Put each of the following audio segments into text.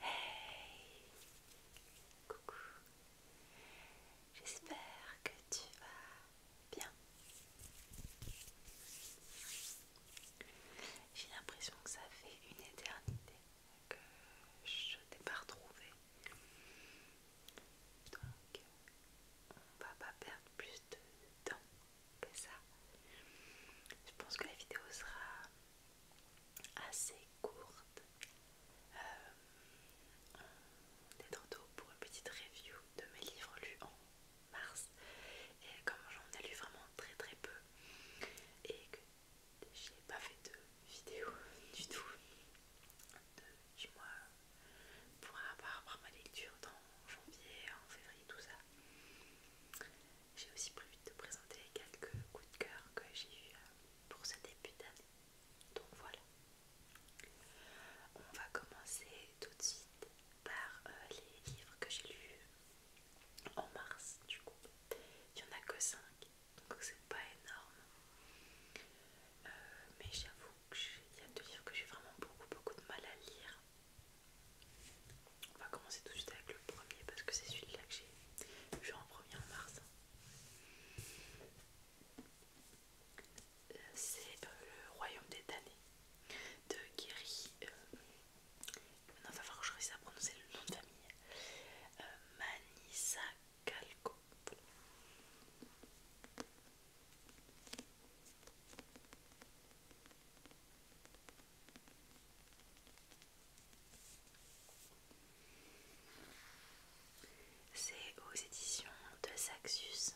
Hey Coucou J'espère que tu vas bien. J'ai l'impression que ça fait une éternité que je t'ai pas retrouvé. Donc on va pas perdre plus de temps que ça. Je pense que la vidéo sera assez courte. on est euh, pour une petite review de mes livres lus en mars. Et comme j'en ai lu vraiment très très peu et que j'ai pas fait de vidéo du tout de, moi mois pour avoir ma lecture dans janvier, en février, tout ça j'ai aussi prévu de de présenter quelques coups de cœur que j'ai eu euh, pour ce début d'année. Donc voilà. On va commencer tout de suite par euh, les livres que j'ai lus en mars du coup. Il n'y en a que 5, donc c'est pas énorme. Euh, mais j'avoue qu'il y a deux livres que j'ai vraiment beaucoup beaucoup de mal à lire. On va commencer tout de suite avec le premier parce que c'est celui-là que j'ai eu en premier en mars. Euh, c'est euh, le royaume des damnés de Giri. maintenant euh, il va falloir que je réussisse à prononcer le nom de famille. Manissa Kalko. C'est aux éditions de Saxus.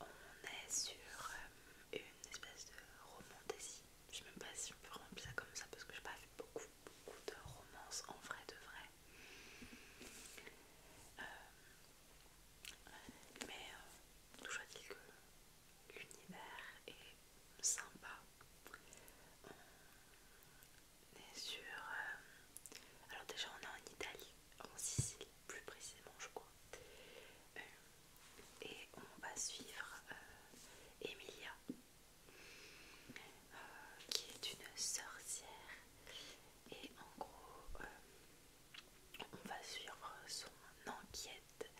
On est sur euh, une espèce de romance. je ne sais même pas si je peux remplir ça comme ça parce que je n'ai pas fait beaucoup, beaucoup de romances en vrai de vrai. Euh, mais tout toujours dit que l'univers est sympa on est sur... Euh, alors déjà on est en Italie, en Sicile plus précisément je crois. Euh, et on va suivre euh, Emilia, qui est une sorcière. Et en gros, on va suivre son enquête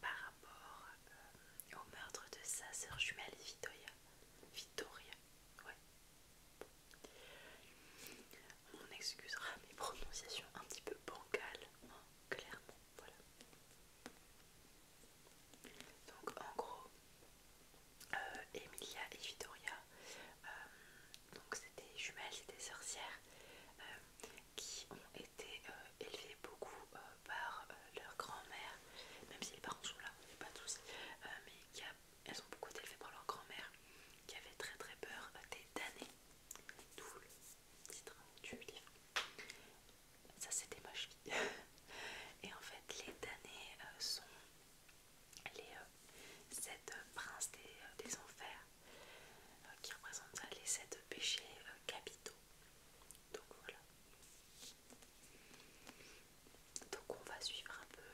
par rapport euh, au meurtre de sa sœur jumelle Vittoria. Vittoria, ouais. On excusera ah, mes prononciations un petit peu bancales, hein, clairement, voilà. Donc en gros, euh, Emilia et Vittoria, euh, donc c'était jumelles, c'était sorcières, qui ont été euh, élevés beaucoup euh, par euh, leur grand-mère, même si les parents sont là, on pas tous, mais elles ont beaucoup été élevées par leur grand-mère qui avait très très peur des damnés, d'où le titre du livre. Ça c'était ma cheville. Et en fait les damnés sont les sept princes des, enfers qui représentent les sept péchés capitaux donc voilà. Donc on va suivre un peu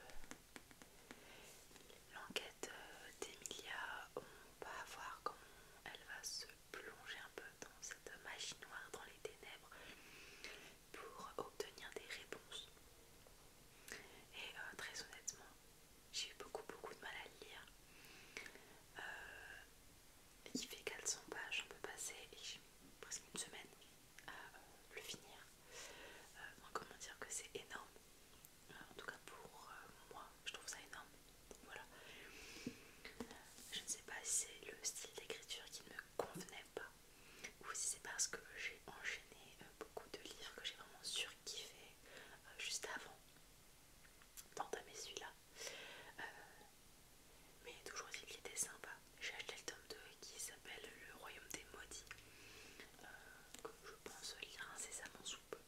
l'enquête euh, d'Emilia. On va voir comment elle va se plonger un peu dans cette magie noire, dans les ténèbres, pour obtenir des réponses. Et euh, très honnêtement, j'ai eu beaucoup beaucoup de mal à le lire. Euh, il fait 400 pages, on peut passer presque une semaine à euh, le finir. Euh, comment dire que c'est énorme. Euh, en tout cas pour moi, je trouve ça énorme. Voilà. Je ne sais pas si c'est le style d'écriture qui ne me convenait pas ou si c'est parce que j'ai enchaîné beaucoup de livres que j'ai vraiment surkiffé juste avant mes celui-là. Euh, mais toujours dit qu'il était sympa. J'ai acheté le tome 2 qui s'appelle Le Royaume des Maudits, que euh, je pense lire incessamment sous peu.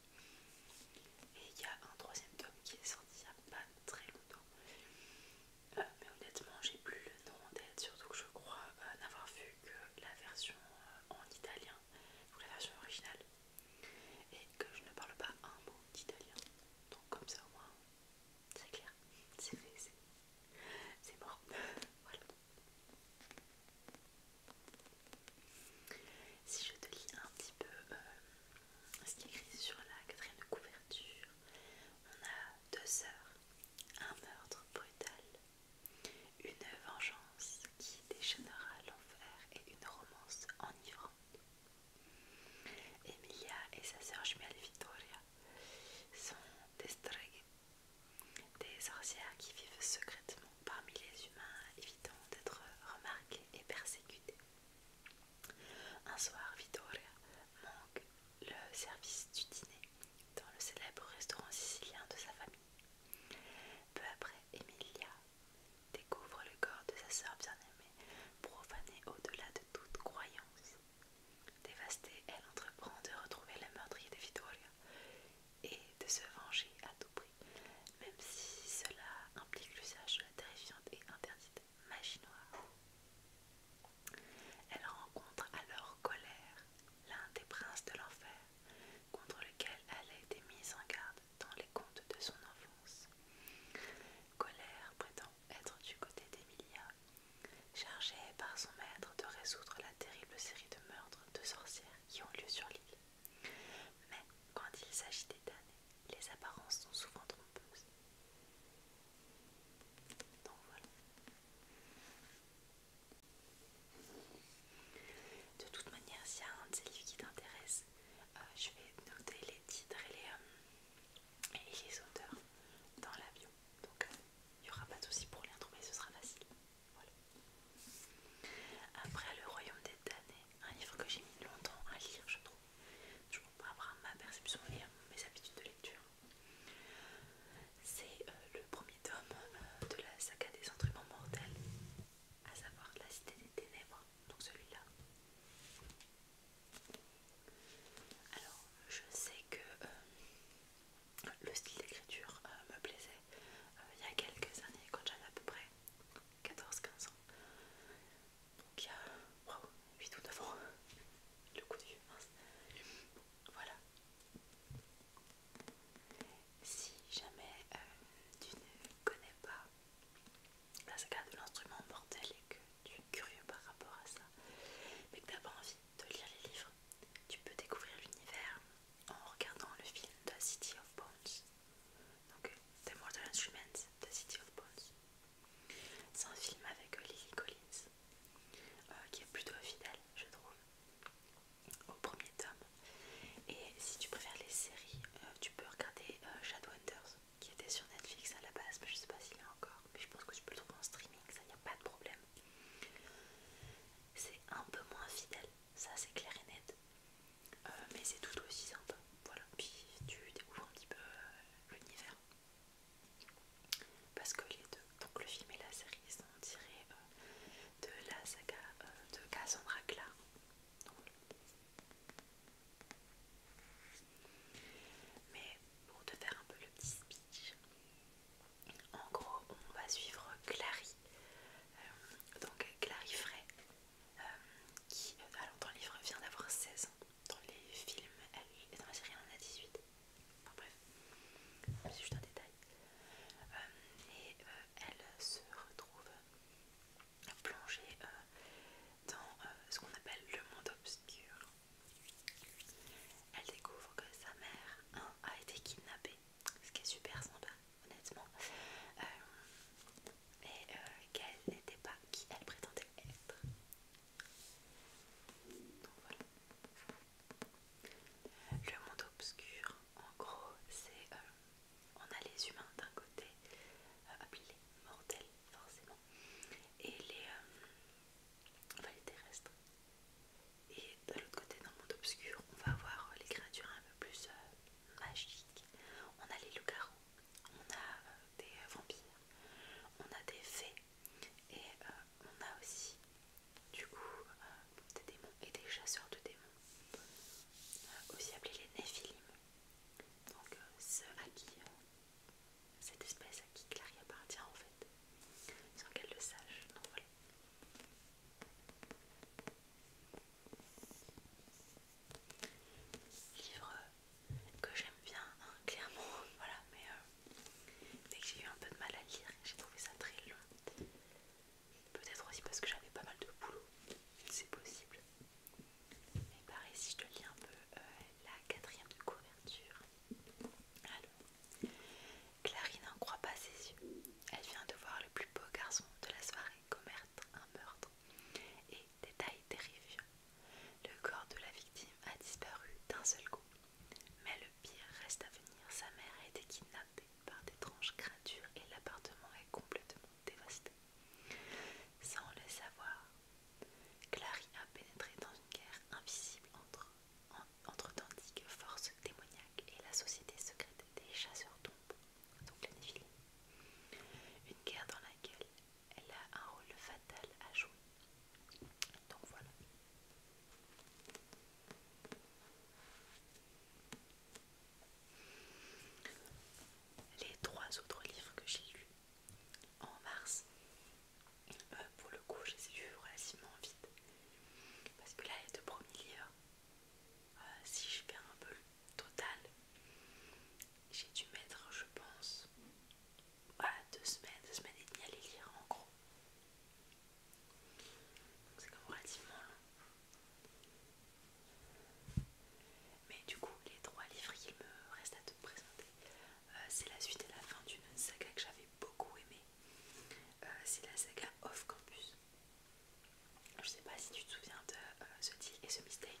Et il y a un troisième tome qui est sorti il n'y a pas très longtemps. Euh, mais honnêtement, j'ai plus le nom en tête, surtout que je crois n'avoir vu que la version en italien, ou la version originale et que je ne parle pas un mot d'italien. Donc comme ça au moins, c'est clair, c'est fait, c'est mort. voilà. Si je te lis un petit peu euh, ce qui est écrit sur la quatrième couverture, on a deux sœurs, un meurtre brutal, une vengeance qui déchaînera l'enfer et une romance enivrante. Emilia et sa sœur jumelle Vittoria sont des des sorcières qui vivent secrètement parmi les humains, évitant d'être remarquées et persécutées. Un soir, Vittoria manque le service du dîner dans le célèbre restaurant sicilien de sa famille. Peu après, Emilia découvre le corps de sa sœur bien-aimée, profanée au-delà de toute croyance. Dévastée, elle entreprend de retrouver le meurtrier de Vittoria et de se venger à tout prix, même si cela implique l'usage de la terrifiante et interdite magie noire. Elle rencontre alors colère l'un des princes de l'enfer, contre lequel elle a été mise en garde dans les contes de son enfance. Colère prétend être du côté d'Emilia, chargée par son maître de résoudre la terrible série de meurtres de sorcières qui ont lieu sur l'île. Mais quand il s'agit des damnés, les apparences sont souvent trompeuses. Donc voilà. De toute manière, s'il y a un de ces livres qui t'intéresse, euh, je vais noter les titres et les, euh, les auteurs dans la bio. Donc euh, il n'y aura pas de souci pour les retrouver, ce sera facile. Voilà. Après Le Royaume des Danés, un livre que j'ai mis longtemps à lire, je trouve. je comprends pas ma perception et mes habitudes de lecture. C'est le premier tome de la saga des instruments mortels, à savoir La Cité des Ténèbres, donc celui-là. Alors, je sais que euh, le style d'écriture euh, me plaisait euh, il y a quelques années, quand j'avais à peu près 14-15 ans. Donc, il y a 8 ou 9 ans, le coup de vieux, Voilà. Si jamais tu ne connais pas Là saga de l'instrument mortel et que tu es curieux par rapport à ça, mais que t'as pas envie de lire les livres, tu peux découvrir l'univers en regardant le film The City of Bones. Donc euh, The Mortal Instruments, The City of Bones. C'est un film avec euh, Lily Collins euh, qui est plutôt fidèle, je trouve, au premier tome. Et si tu préfères les séries, tu peux regarder Shadow Shadowhunters qui était sur Netflix à la base, mais je sais pas s'il est a encore, mais je pense que tu peux le trouver en streaming, ça n'y a pas de problème. C'est un peu moins fidèle, ça c'est clair et net, euh, mais c'est tout aussi sympa. Voilà, puis tu découvres un petit peu euh, l'univers. Parce que les deux, donc le film et la série, sont tirés euh, de la saga de Cassandra Clare. Mais pour te faire un peu le petit speech, en gros, on va suivre Clary, euh, donc Clary Frey, euh, qui, euh, alors dans le livre, vient d'avoir 16 ans. Dans les films, elle, est dans la série, elle en a 18. Enfin bref, c'est juste un détail. et elle se retrouve plongée dans euh, ce qu'on appelle le monde obscur. Elle découvre que sa mère hein, a été kidnappée, ce qui est super sympa, honnêtement, euh, et euh, qu'elle n'était pas qui elle prétendait être. Le monde obscur, en gros, c'est on a les humains d'un côté, appelés les mortels forcément et euh, les, terrestres. Et de l'autre côté, dans le monde obscur, on va avoir les créatures un peu plus euh, magiques. On a les loups-garous, on a euh, des vampires, on a des fées et on a aussi du coup des démons et des chasseurs de démons, aussi appelés les néphilim. Donc ceux à qui cette espèce à qui Clary appartient en fait, sans qu'elle le sache. voilà. Livre que j'aime bien, hein, clairement, voilà, mais euh, dès que j'ai eu un peu de mal à lire, j'ai trouvé ça très long. Peut-être aussi parce que j'avais pas mal de boulot, c'est possible. Mais pareil, si je te lis un peu euh, la quatrième couverture. Clarine n'en croit pas ses yeux. Elle vient de voir le plus beau garçon de la soirée commettre un meurtre. Et détail terrifiant, le corps de la victime a disparu d'un seul coup. Mais le pire reste à venir. Sa mère a été kidnappée par d'étranges créatures et l'appartement est complètement dévasté. Sans le savoir, Clary a pénétré dans une guerre invisible entre, entre d'antiques forces démoniaques et la société secrète des chasseurs d'ombre, donc la Nephilim. Une guerre dans laquelle elle a un rôle fatal à jouer. Donc voilà. Les trois autres livres que j'ai lus en mars. Euh, pour le coup, j'ai dû relativement vite. Parce que là, les deux premiers livres, euh, si je fais un peu le total, j'ai dû mettre, je pense, à bah, deux semaines, deux semaines et demie à les lire en gros. Donc c'est comme relativement long. Mais du coup, les trois livres qu'il me reste à te présenter. Euh, c'est la suite et la fin d'une saga que j'avais beaucoup aimée. Euh, c'est la saga Off Campus. Je sais pas si tu te souviens de euh, ce deal et ce mistakes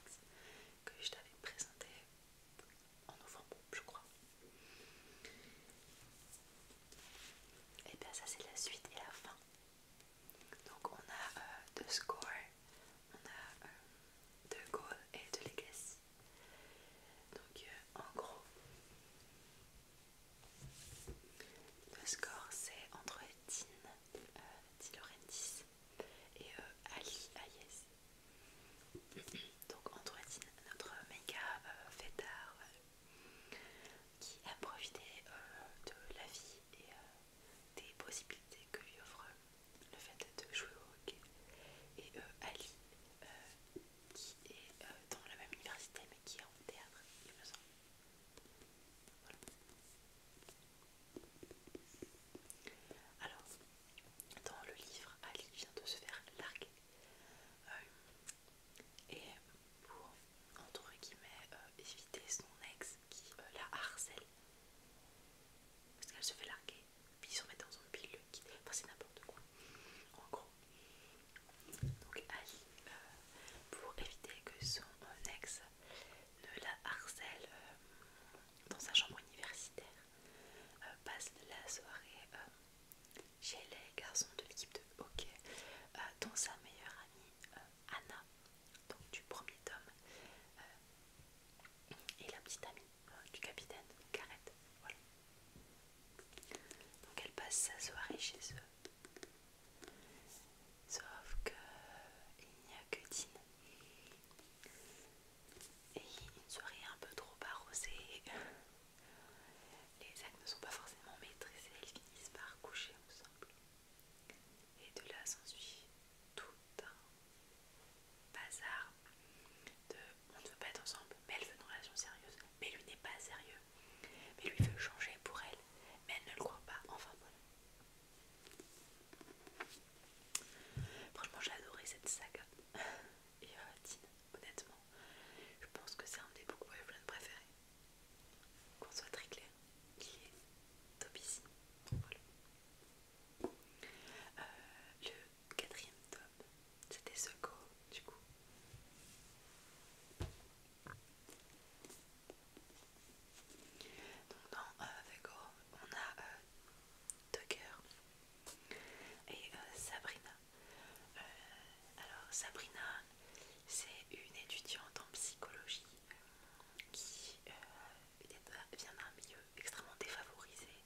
que je t'avais présenté en novembre, je crois. Et eh bien ça c'est la suite et la fin. Donc on a The Score on a euh, deux goals et de Legacy. Donc euh, en gros, le score c'est entre Dean, euh, et Ali Hayes. Donc Androidine, notre méga fêtard qui a profité de la vie et des possibilités que lui offre le fait de jouer au hockey et euh, Ali euh, qui est euh, dans la même université mais qui est en théâtre il a voilà. alors dans le livre Ali vient de se faire larguer et pour entre guillemets éviter son ex qui la harcèle parce qu'elle se fait larguer puis ils se remettent dans un pile qui... enfin c'est n'importe quoi en gros donc Ali euh, pour éviter que son ex ne la harcèle euh, dans sa chambre universitaire euh, passe la soirée chez les garçons de l'équipe de hockey dont sa meilleure amie Anna donc du premier tome et la petite amie euh, du capitaine, Carrette. Donc elle passe sa soirée chez eux. Sauf que il n'y a que Dean. Et une soirée un peu trop arrosée. Les actes ne sont pas forcément maîtrisés, ils finissent par coucher ensemble. Et de là s'ensuit tout d'un bazar de on ne veut pas être ensemble, mais elle veut une relation sérieuse, mais lui n'est pas sérieux, mais lui veut changer pour elle, mais elle ne le croit pas, enfin voilà. Franchement, j'ai adoré cette saga. Et euh, honnêtement, je pense que c'est un des beaucoup préférés. Qu'on soit très clair, est Tobias. Voilà. Euh, le quatrième tome, c'était ce du coup. Donc dans The euh, Go, on a euh, Tucker et Sabrina. alors Sabrina, c'est une étudiante en psychologie qui vient d'un milieu extrêmement défavorisée.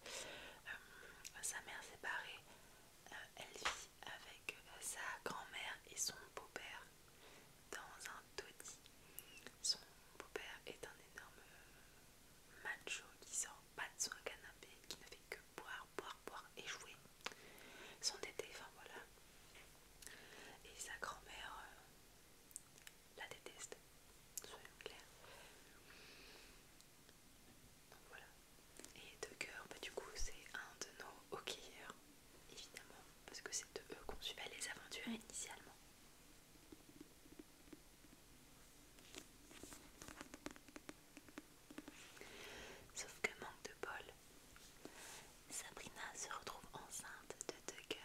Euh, sa mère séparée, euh, elle vit avec euh, sa grand-mère et son beau-père dans un taudis. Son beau-père est un énorme macho qui sort pas de son canapé, qui ne fait que boire, boire, boire et jouer. Son tété, enfin voilà. Et sa grand-mère, la déteste, soyons clairs. voilà. Et de bah, du coup c'est un de nos hockeyeurs, évidemment, parce que c'est de eux qu'on suivait les aventures initialement. Sauf que manque de bol, Sabrina se retrouve enceinte de Tucker.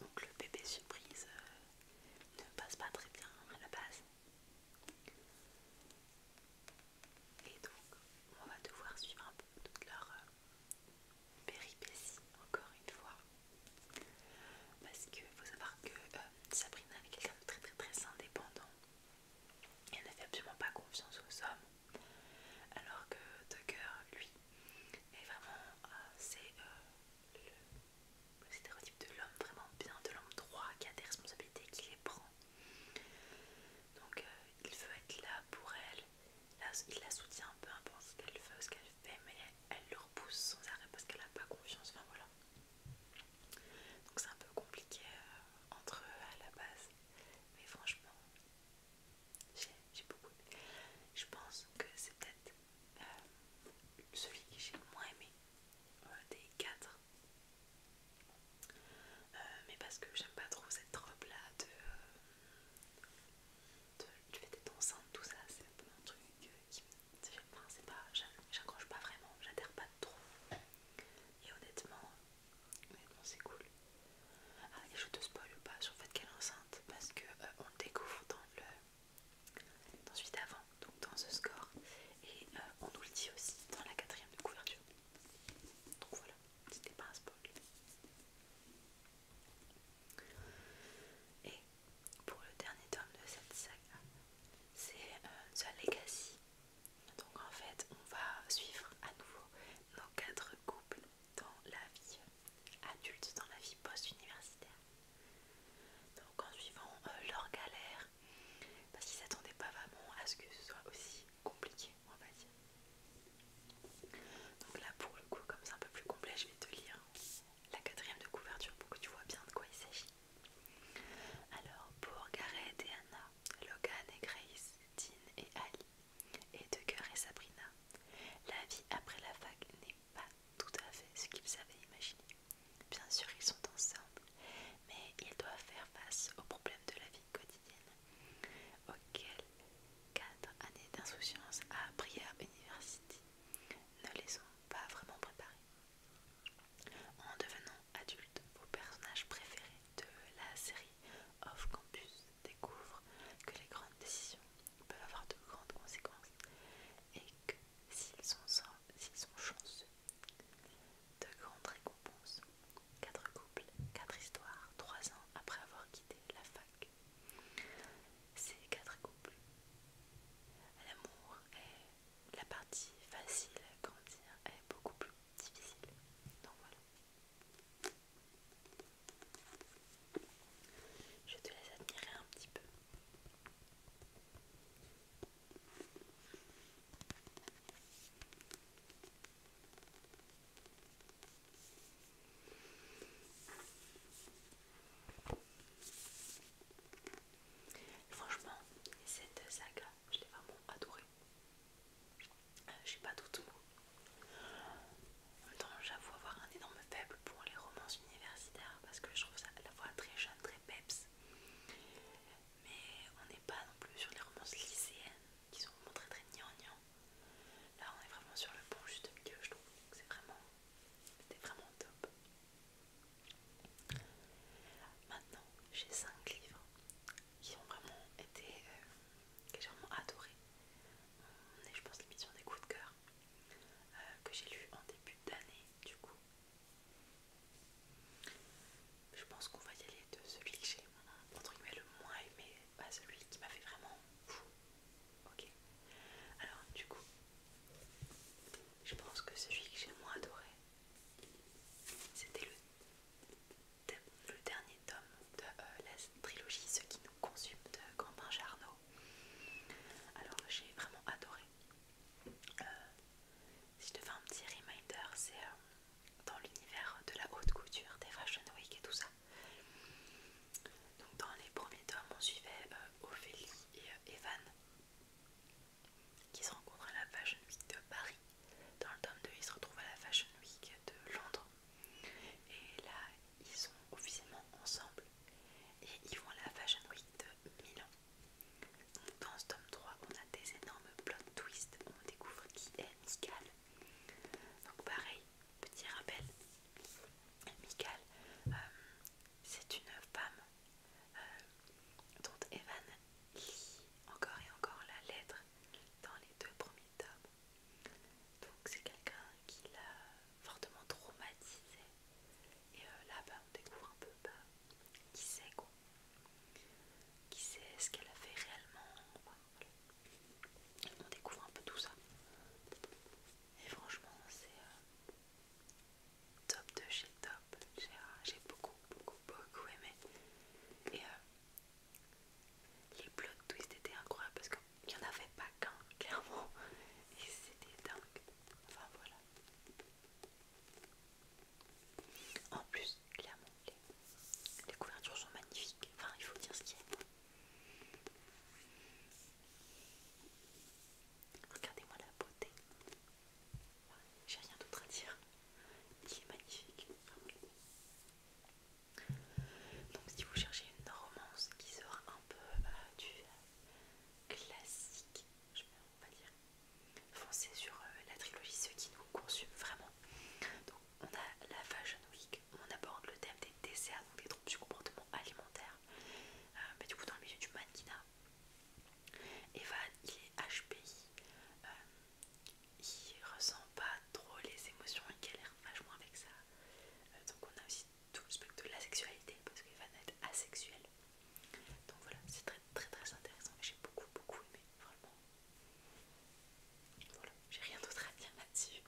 Donc le bébé surprise euh, ne passe pas très bien à la base. Et donc on va devoir suivre un peu toute leur euh, péripétie encore une fois. Parce qu'il faut savoir que euh, Sabrina est quelqu'un de très très très indépendant. Elle ne fait absolument pas confiance aux hommes. Alors que Tucker, lui, et vraiment, euh, c'est euh, le, stéréotype de l'homme vraiment bien, de l'homme droit qui a des responsabilités, qui les prend. Donc euh, il veut être là pour elle, il la soutient un peu importe hein, ce qu'elle veut, ce qu'elle fait, mais elle, le repousse sans arrêt parce qu'elle n'a pas confiance. Enfin voilà. Donc c'est un peu compliqué entre eux à la base, mais franchement, j'ai beaucoup Je pense que c'est peut-être euh, celui que j'ai le moins aimé euh, des quatre. Euh, mais parce que j'aime pas trop cette robe là de, de tu fais tout ça, c'est un peu un truc qui c'est pas, j'accroche pas vraiment, j'adhère pas trop. Et honnêtement, honnêtement c'est cool. Ah, et je te spoil pas sur le fait qu'elle enceinte parce que euh, on le découvre dans le dans celui d'avant, donc dans ce score, et euh, on nous le dit aussi dans la quatrième de couverture. Donc voilà, c'était pas un spoil. Et pour le dernier tome de cette saga, c'est euh, The Legacy. Donc en fait, on va suivre à nouveau nos quatre couples dans la vie adulte, dans la vie post-universitaire. Donc en suivant euh, leur galère, parce qu'ils s'attendaient pas vraiment à ce que ce soit aussi compliqué, on va dire. Donc là pour le coup, comme c'est un peu plus complet, je vais te lire la quatrième de couverture pour que tu vois bien de quoi il s'agit. Alors pour Gareth et Anna, Logan et Grace, Dean et Ali, et cœur et Sabrina. La vie après la fac n'est pas tout à fait ce qu'ils avaient imaginé. Bien sûr, ils sont ensemble, mais ils doivent faire face aux problèmes de la vie quotidienne, auxquels quatre années d'insouciance à Briar University ne les ont pas vraiment préparés. En devenant adultes, vos personnages préférés de la série Off Campus découvre que les grandes décisions peuvent avoir de grandes conséquences et que s'ils sont, chanceux, de grandes récompenses. Quatre couples, quatre histoires, trois ans après avoir quitté la fac. Ces quatre couples. L'amour est la partie facile, à grandir est beaucoup plus difficile. Donc voilà. Je te laisse admirer un petit peu. Franchement, cette saga, je l'ai vraiment adorée. Euh, je sais pas tout. mots en temps, j'avoue avoir un énorme faible pour les romances universitaires parce que je trouve ça à la fois très jeune, très peps. Mais on n'est pas non plus sur les romances lycéennes qui sont vraiment très très gnangnan. Là, on est vraiment sur le bon juste milieu, je trouve. C'est vraiment, vraiment top. Maintenant, j'ai 5 livres qui ont vraiment été, euh, que j'ai vraiment adoré. On est, je pense, sur des coups de cœur euh, que j'ai lu en début d'année du coup. Je pense qu'on va y aller de celui que j'ai le moins aimé pas celui qui m'a fait vraiment fou. Ok. Alors du coup, je pense que celui que j'ai moins adoré, c'était le le dernier tome de euh, la trilogie Ceux qui nous consume de Gambin Jarno alors j'ai vraiment adoré. Euh, si je te fais un petit reminder, c'est euh, dans l'univers de la haute couture, des Fashion Week et tout ça. Donc dans les premiers tomes, on suivait euh, Ophélie et Evan qui se rencontrent à la Fashion Week de Paris. Dans le tome 2, ils se retrouvent à la Fashion Week de Londres. Et ils sont officiellement ensemble et ils vont à la Fashion Week de Milan. dans ce tome 3, on a des énormes plot twists, on découvre qui est Mikal. Donc pareil, petit rappel, Mikal, euh, c'est une femme euh, dont Evan lit encore et encore la lettre dans les deux premiers tomes. Donc c'est quelqu'un qui l'a fortement traumatisé. Et euh, là, on découvre un peu bah, qui c'est quoi. Qui sait ce qu'elle a fait réellement. On découvre un peu tout ça. Et franchement, c'est euh, top de chez top. Euh, j'ai beaucoup, beaucoup, beaucoup aimé. Et les plot twists étaient incroyables parce que il n'y en avait pas qu'un, clairement, et c'était dingue. Enfin voilà. En plus, clairement, les, couvertures sont magnifiques. Enfin, il faut dire ce qu'il y a. Regardez-moi la beauté. J'ai rien d'autre à dire. Il est magnifique. Donc si vous cherchez une romance qui sera un peu euh, du classique, on va dire, foncez sur euh, la trilogie Ceux qui nous consument vraiment. Donc on a la Fashion Week, on aborde le thème des desserts, donc des troubles du comportement alimentaire, euh, mais du coup dans le milieu du mannequinat. Evan, il est HPI, il ressent pas trop les émotions, il galère vachement avec ça. donc on a aussi tout le spectre de la sexualité parce qu'il va être asexuel. Donc voilà, c'est très très très intéressant et j'ai beaucoup beaucoup aimé, vraiment. Voilà, j'ai rien d'autre à dire là-dessus.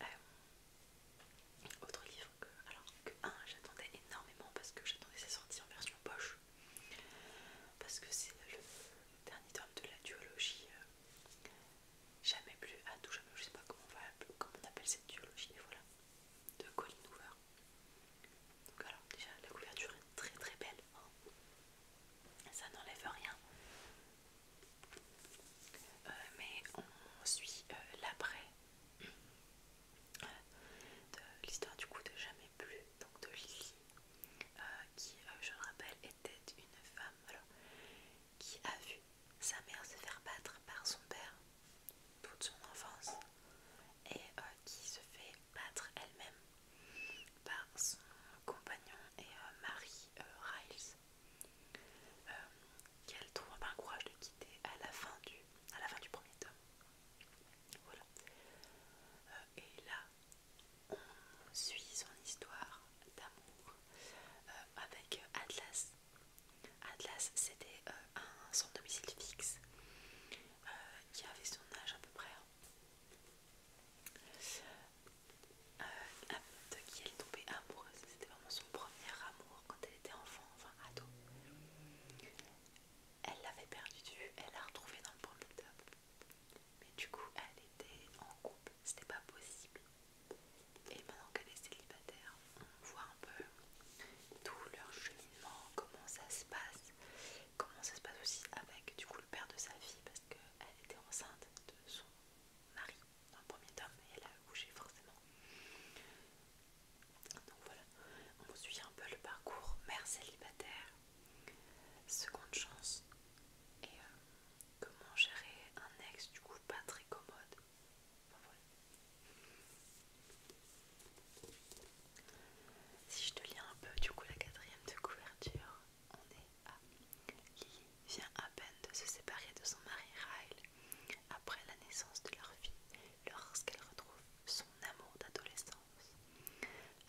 Euh, autre livre que, alors que un, j'attendais énormément parce que j'attendais sa sortie en version poche. Parce que c'est le dernier tome de la duologie euh, jamais plus à tout jamais, je sais pas comment on, va, comment on appelle cette duologie, voilà, de Colin Hoover. Donc déjà la couverture est très très belle, hein. ça n'enlève rien. Euh, mais on suit euh, l'après euh, de l'histoire du coup de jamais plus, donc de Lily, qui je le rappelle était une femme qui a vu sa mère se fait battre par son père toute son enfance et euh, qui se fait battre elle-même par son compagnon et euh, mari euh, Riles qu'elle trouve un courage de quitter à la fin du, à la fin du premier tome. Voilà. et là, on suit son histoire d'amour avec Atlas Atlas, c'était son euh, domicile fixe qui euh, avait son âge à peu près. Hein. Euh, de qui elle est tombée amoureuse, c'était vraiment son premier amour quand elle était enfant, enfin ado. Elle l'avait perdu elle l'a retrouvé dans le premier top. Mais du coup, elle était en couple c'était pas possible. Et maintenant qu'elle est célibataire, on voit un peu tout leur cheminement, comment ça se passe, comment ça se passe aussi avec du coup le père de sa fille parce qu'elle était enceinte de son mari dans premier temps et elle a bougé forcément. Donc voilà, on suit un peu le parcours mère célibataire, seconde chance et euh, comment gérer un ex du coup pas très commode si je te lis un peu, du coup la quatrième de couverture, on est à Lily vient à peine de se séparer de son mari Ryle après la naissance de leur fille lorsqu'elle retrouve son amour d'adolescence,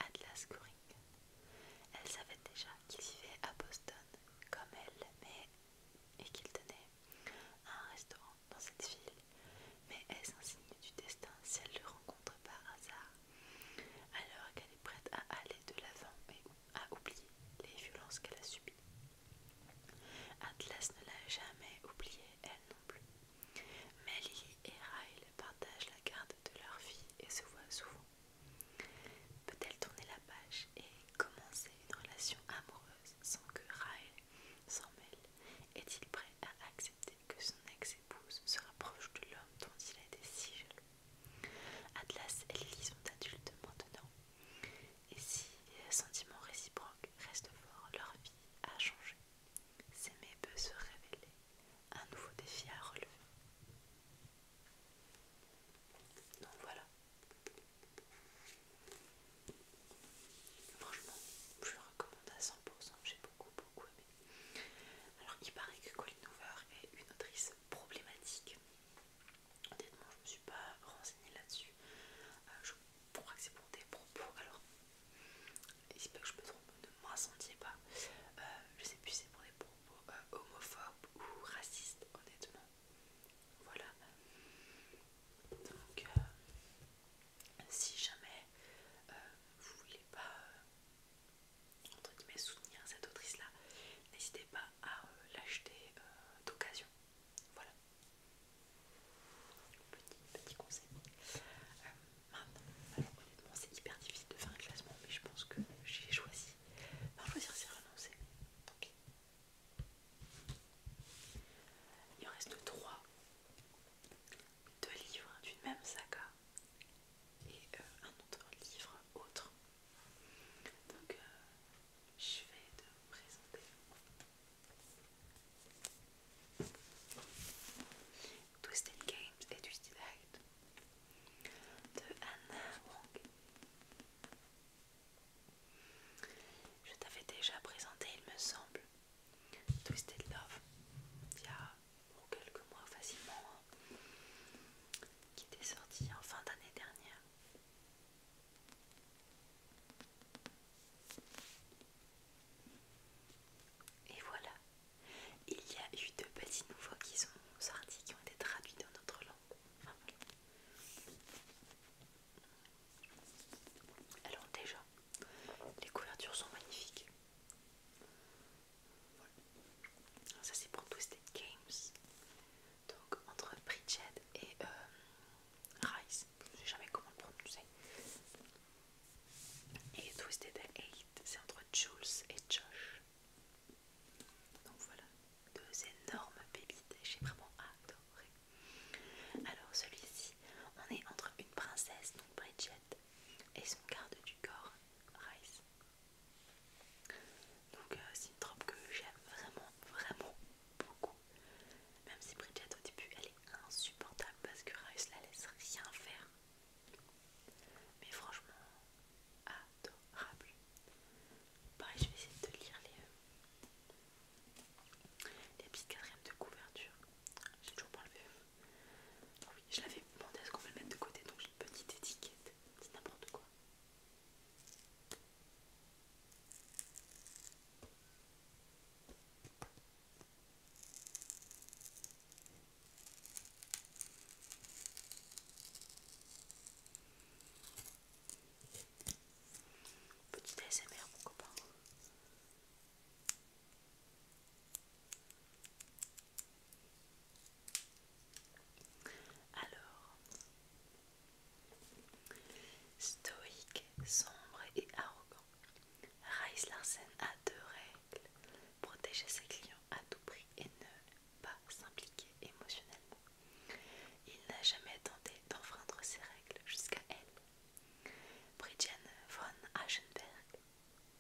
Atlas Goring. Elle savait déjà qu'il vivait à Boston comme elle, mais et qu'il tenait à un restaurant dans cette ville. Mais est-ce un signe du destin si elle le rencontre par hasard alors qu'elle est prête à aller de l'avant et à oublier les violences qu'elle a subies Atlas ne l'a jamais oubliée, elle non plus. Mais Lily et Ryle partagent la garde de leur fille et se voient souvent. Peut-elle tourner et commencer une relation amoureuse sans que Raël s'en mêle Est-il prêt à accepter que son ex-épouse se rapproche de l'homme dont il a été si jaloux Atlas et Lily sont adultes maintenant, et si les sentiments réciproques restent forts, leur vie a changé. S'aimer peut se révéler un nouveau défi à relever. Donc voilà, Franchement, je le recommande à 100%, j'ai beaucoup beaucoup aimé. Alors il paraît que Colleen Hoover est une autrice problématique. Honnêtement, je ne me suis pas renseignée là-dessus. Euh, je crois que c'est pour des propos. Alors, si pas que je me trompe, ne m'incendiez pas. Je euh, je sais plus si c'est pour des propos euh, homophobes ou racistes, honnêtement. Voilà. Donc, euh, si jamais vous euh, vous voulez pas euh, entre guillemets soutenir cette autrice-là, n'hésitez pas à l'acheter d'occasion. Voilà. Petit, petit conseil. alors honnêtement, c'est hyper difficile de faire un classement, mais je pense que j'ai choisi. Enfin, choisir, c'est renoncer. Il en reste trois. Deux livres d'une même saga et euh, un autre livre autre. Donc euh, je vais te présenter. Twisted Games et Twisted Light de Anna Wong. Je t'avais déjà présenté, il me semble, Twisted Love, il y a quelques mois facilement, hein, qui était sorti en fin d'année dernière. Et voilà, il y a eu deux petits nouveaux qui sont sortis, qui ont été traduits dans notre langue. Alors déjà, les couvertures sont magnifiques. Voilà. Ça c'est pour Twisted Games. Donc entre Bridget et euh, Rice, je sais jamais comment le prononcer. Et Twisted 8, c'est entre Jules et Josh. Donc voilà, deux énormes pépites, j'ai vraiment adoré. Alors celui-ci, on est entre une princesse, donc Bridget, et son garde du corps, Rice. Donc euh, c'est une troupe que j'aime vraiment, vraiment beaucoup. Même si Bridget au début elle est insupportable parce que Rice la laisse rien faire. Mais franchement, adorable. Pareil, je vais essayer de lire les, euh, les petites quatrièmes de couverture. J'ai toujours pas enlevé. Ah oui, je l'avais demandé est ce qu'on peut le mettre de côté, donc j'ai une petite étiquette. C'est n'importe quoi. Petit ASMR mon copain. Alors, stoïque, sombre et arrogant, Rice Larsen a deux règles protéger ses clients à tout prix et ne pas s'impliquer émotionnellement. Il n'a jamais tenté d'enfreindre ses règles jusqu'à elle. Bridgette von Aschenberg,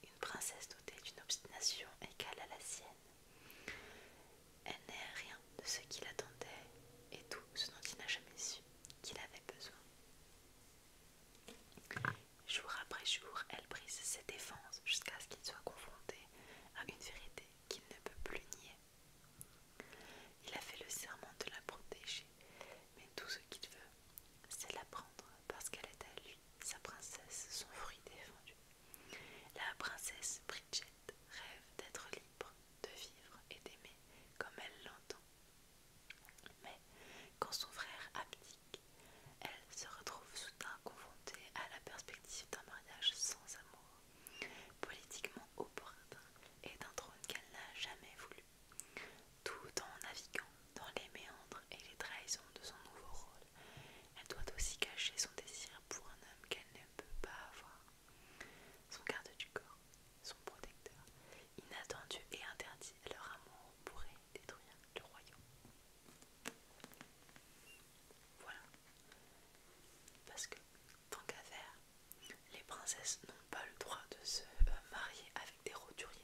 une princesse dotée d'une obstination égale à la sienne, elle n'est rien de ce qu'il attendait et tout ce dont il n'a jamais su qu'il avait besoin. Jour après jour, elle brise ses défenses jusqu'à ce qu'il soit confronté à une vérité qu'il ne peut plus nier. Il a fait le serment de la protéger, mais tout ce qu'il veut, c'est la prendre parce qu'elle est à lui, sa princesse, son fruit défendu. La princesse Bridget rêve d'être libre, de vivre et d'aimer comme elle l'entend. Mais quand son frère abdique, elle se retrouve soudain confrontée à la perspective d'un mariage sans amour au opportun et d'un trône qu'elle n'a jamais voulu, tout en naviguant dans les méandres et les trahisons de son nouveau rôle. Elle doit aussi cacher son désir pour un homme qu'elle ne peut pas avoir. Son garde du corps, son protecteur, inattendu et interdit, leur amour pourrait détruire le royaume. Voilà. Parce que tant qu'à faire, les princesses n'ont pas le droit de se euh, marier avec des roturiers.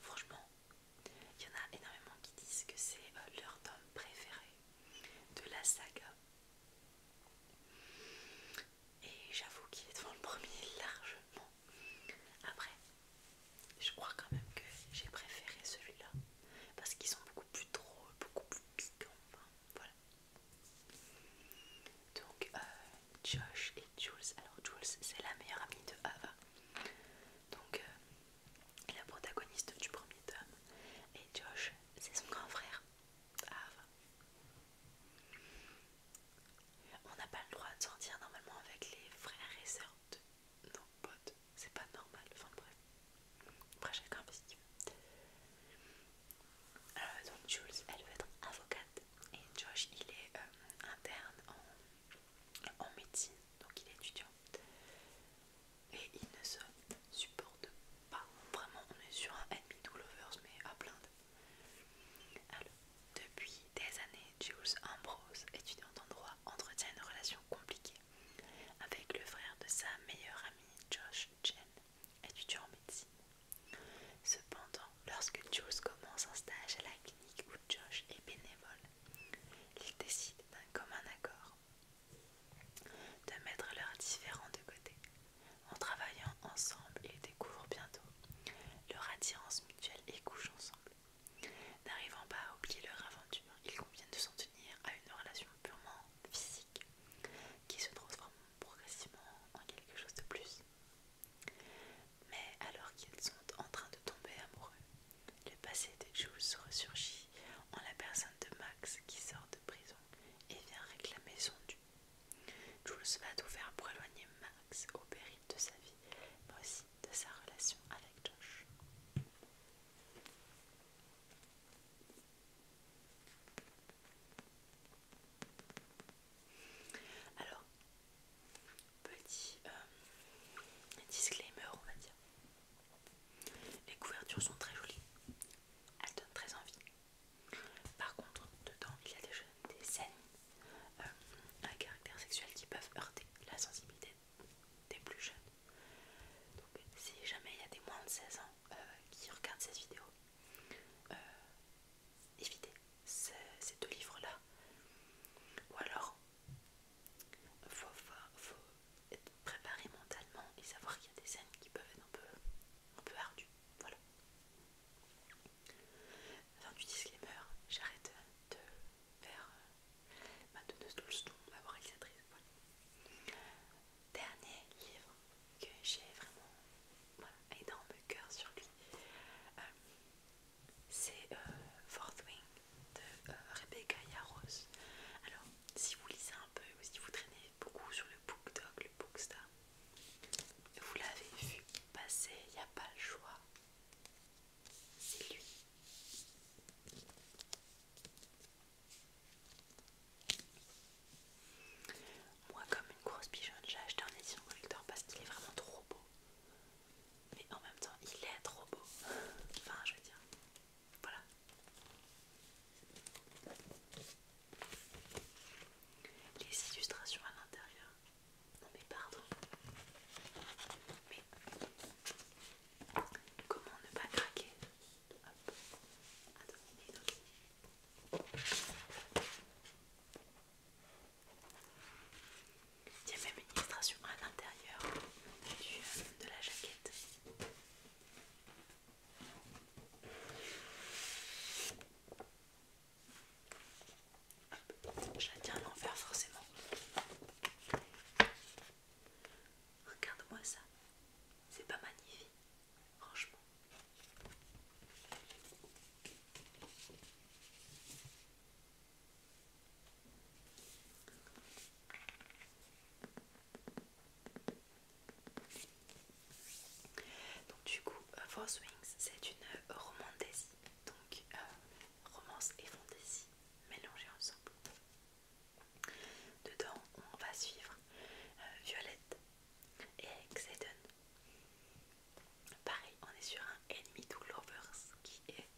Franchement, il y en a énormément qui disent que c'est euh, leur tome préféré de la saga. Et j'avoue qu'il est devant le premier largement. Après, je crois quand même que j'ai préféré celui-là parce qu'ils sont beaucoup plus drôles, beaucoup plus piquants. Enfin, voilà. Donc, euh, Josh et Jules. Alors, Jules, c'est la meilleure amie de Ava. Donc, euh, la protagoniste du premier tome. Et Josh, c'est son grand frère, Ava. On n'a pas le droit de sortir normalement avec les frères et sœurs de non pote, c'est pas normal, enfin bref, après chacun fait ce euh, donc Jules, elle veut être avocate et Josh, il est euh, interne en, médecine, donc il est étudiant. Et il ne se supporte pas. Vraiment, on est sur un ennemi to lovers, mais à plaindre. Alors, depuis des années, Jules Ambrose, étudiante en droit, entretient une relation compliquée avec le frère de sa meilleure amie Josh Jen, étudiant en médecine. Cependant, lorsque Jules commence un stage à la clinique où Josh est bénévole, ils décident d'un commun accord de mettre leurs différents de côté. En travaillant ensemble, ils découvrent bientôt leur attirance mutuelle et couchent ensemble. N'arrivant pas à oublier leur aventure, ils conviennent de s'en tenir à une relation purement physique qui se transforme progressivement en quelque chose de plus. Mais alors qu'ils sont en train de tomber amoureux, le passé de Jules ressurgit en la personne de Max qui sort de prison et vient réclamer son dû. Jules va tout faire pour éloigner Max au péril de sa vie, mais aussi de sa relation avec Josh. Alors, petit euh, disclaimer, on va dire. Les couvertures sont très jolies, elles donnent très envie. Par contre, dedans, il y a des, des scènes à euh, caractère sexuel qui peuvent heurter la sensibilité des, plus jeunes. Donc si jamais il y a des moins de 16 ans euh, qui regardent cette vidéo, euh, évitez ces, deux livres-là. Ou alors, faut, être préparé mentalement et savoir qu'il y a des scènes qui peuvent être un peu, un peu ardues. Voilà. Fin du disclaimer, j'arrête de faire euh, ma donneuse ma réalisatrice. Dernier livre que j'ai vraiment voilà, énorme cœur sur lui, euh, c'est euh, Fourth Wing de euh, Rebecca Yarros. Alors, si vous lisez un peu ou si vous traînez beaucoup sur le BookDog, le Bookstar, vous l'avez vu passer, il n'y a pas le choix. C'est lui. Moi, comme une grosse pigeonne, j'ai acheté un édition collector parce qu'il est vraiment trop beau. Mais en même temps, il est trop beau. Enfin, je veux dire, voilà. Les illustrations à l'intérieur. Non mais pardon. Mais comment ne pas craquer il y a même une illustration à l'intérieur de la jaquette je la tiens à l'envers forcément. Regarde-moi ça. C'est pas magnifique, franchement. Donc du coup, euh, Force Wings, c'est une euh, romantaisie, donc euh, romance et fantaisie mélangées ensemble. Dedans, on va suivre euh, Violette et Exeden Pareil, on est sur un Enemy to Lovers qui est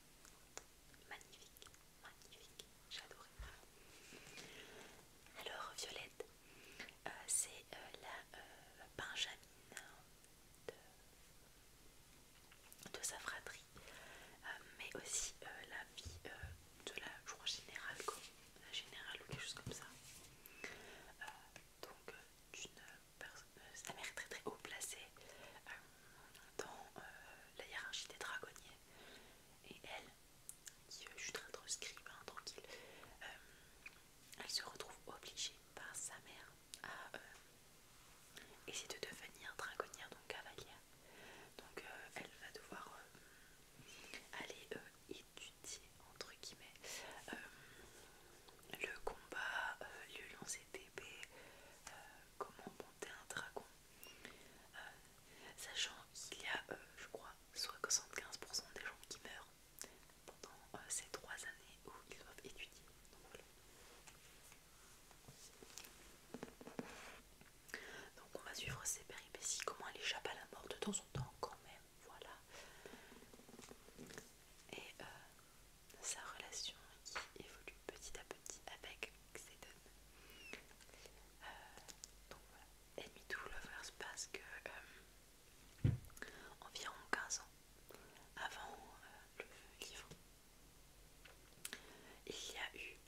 magnifique, magnifique, j'adore. Alors, Violette, euh, c'est euh, la benjamine de, sa fratrie, mais aussi la vie de la, je générale, quoi. La générale ou quelque chose comme ça. Euh, donc, euh, euh, Sa mère est très très haut placée dans la hiérarchie des dragonniers. Et elle, qui suis juste très hein, tranquille, elle se retrouve obligée par sa mère à. essayer de devenir dragonnière, donc cavalière. Donc elle va devoir Allez, euh, étudier entre guillemets euh, le combat, le lion CTP, comment monter un dragon, euh, sachant qu'il y a, je crois, soit 75% des gens qui meurent pendant ces trois années où ils doivent étudier. Donc on va suivre ses péripéties, comment elle échappe à la mort de temps en temps quand même, voilà. Et euh, sa relation qui évolue petit à petit avec Xedon. Euh, donc voilà, tout to Lovers parce que euh, environ 15 ans avant le livre, il y a eu,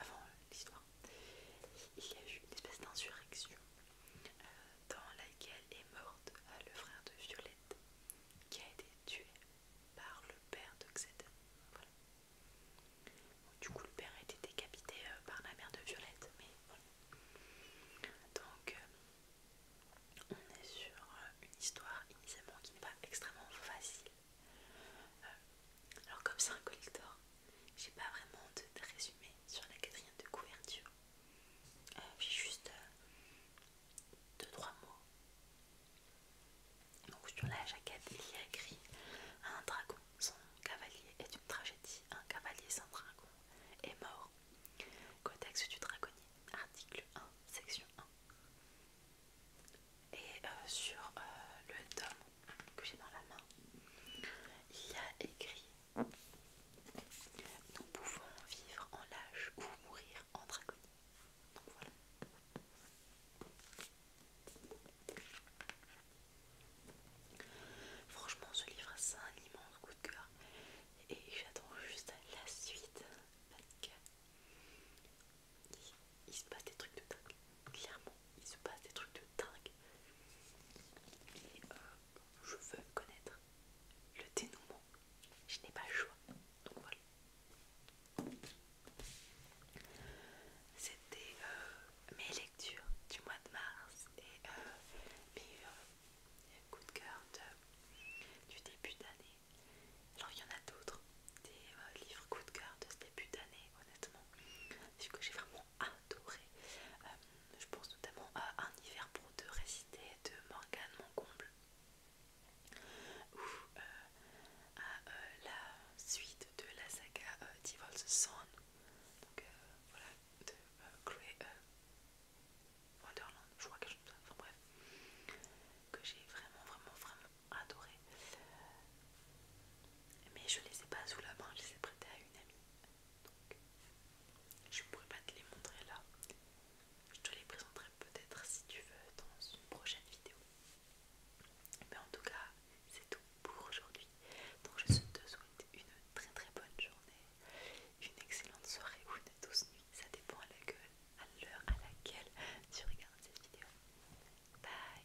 avant l'histoire, il y a eu une espèce d'insurrection euh, dans laquelle est morte euh, le frère de Violette qui a été tué par le père de du coup, le père a été décapité euh, par la mère de Violette, mais voilà. Donc, on est sur une histoire initialement qui n'est pas extrêmement facile euh, alors comme c'est un collector, j'ai pas vraiment de, résumé sur la quatrième de couverture. Euh, j'ai juste 2-3 euh, mots. Donc sur la jaquette, il y a écrit un dragon, son cavalier est une tragédie, un cavalier sans dragon est mort. Codex du dragonnier, article 1, section 1. Et euh, sur euh, le tome que j'ai dans la main, il y a écrit Nous pouvons vivre en lâche ou mourir en dragon. Donc voilà. Franchement, ce livre, c'est un immense coup de cœur. Et j'attends juste la suite il se passe des trucs de dingue. Clairement, il se passe des trucs de dingue. Et euh, je veux connaître le dénouement. Je n'ai pas le choix. Donc voilà. C'était euh, mes lectures du mois de mars et euh, mes coups de cœur de, du début d'année. Alors il y en a d'autres, des livres coup de cœur de ce début d'année honnêtement que j'ai vraiment adoré. Euh, je pense notamment à Un hiver pour deux récité de Morgane comble ou euh, à euh, la suite de la saga Divorce Son, donc voilà, de Grey Wonderland, je crois que bref, que j'ai vraiment, vraiment, vraiment adoré. Mais je les ai pas sous la main, je les ai prêtés à une amie. Donc je pourrais pas te les montrer là. Je te les présenterai peut-être si tu veux dans une prochaine vidéo. Mais en tout cas, c'est tout pour aujourd'hui. Donc je te souhaite une très très bonne journée, une excellente soirée ou une douce nuit. Ça dépend à la gueule à, l'heure à laquelle tu regardes cette vidéo. Bye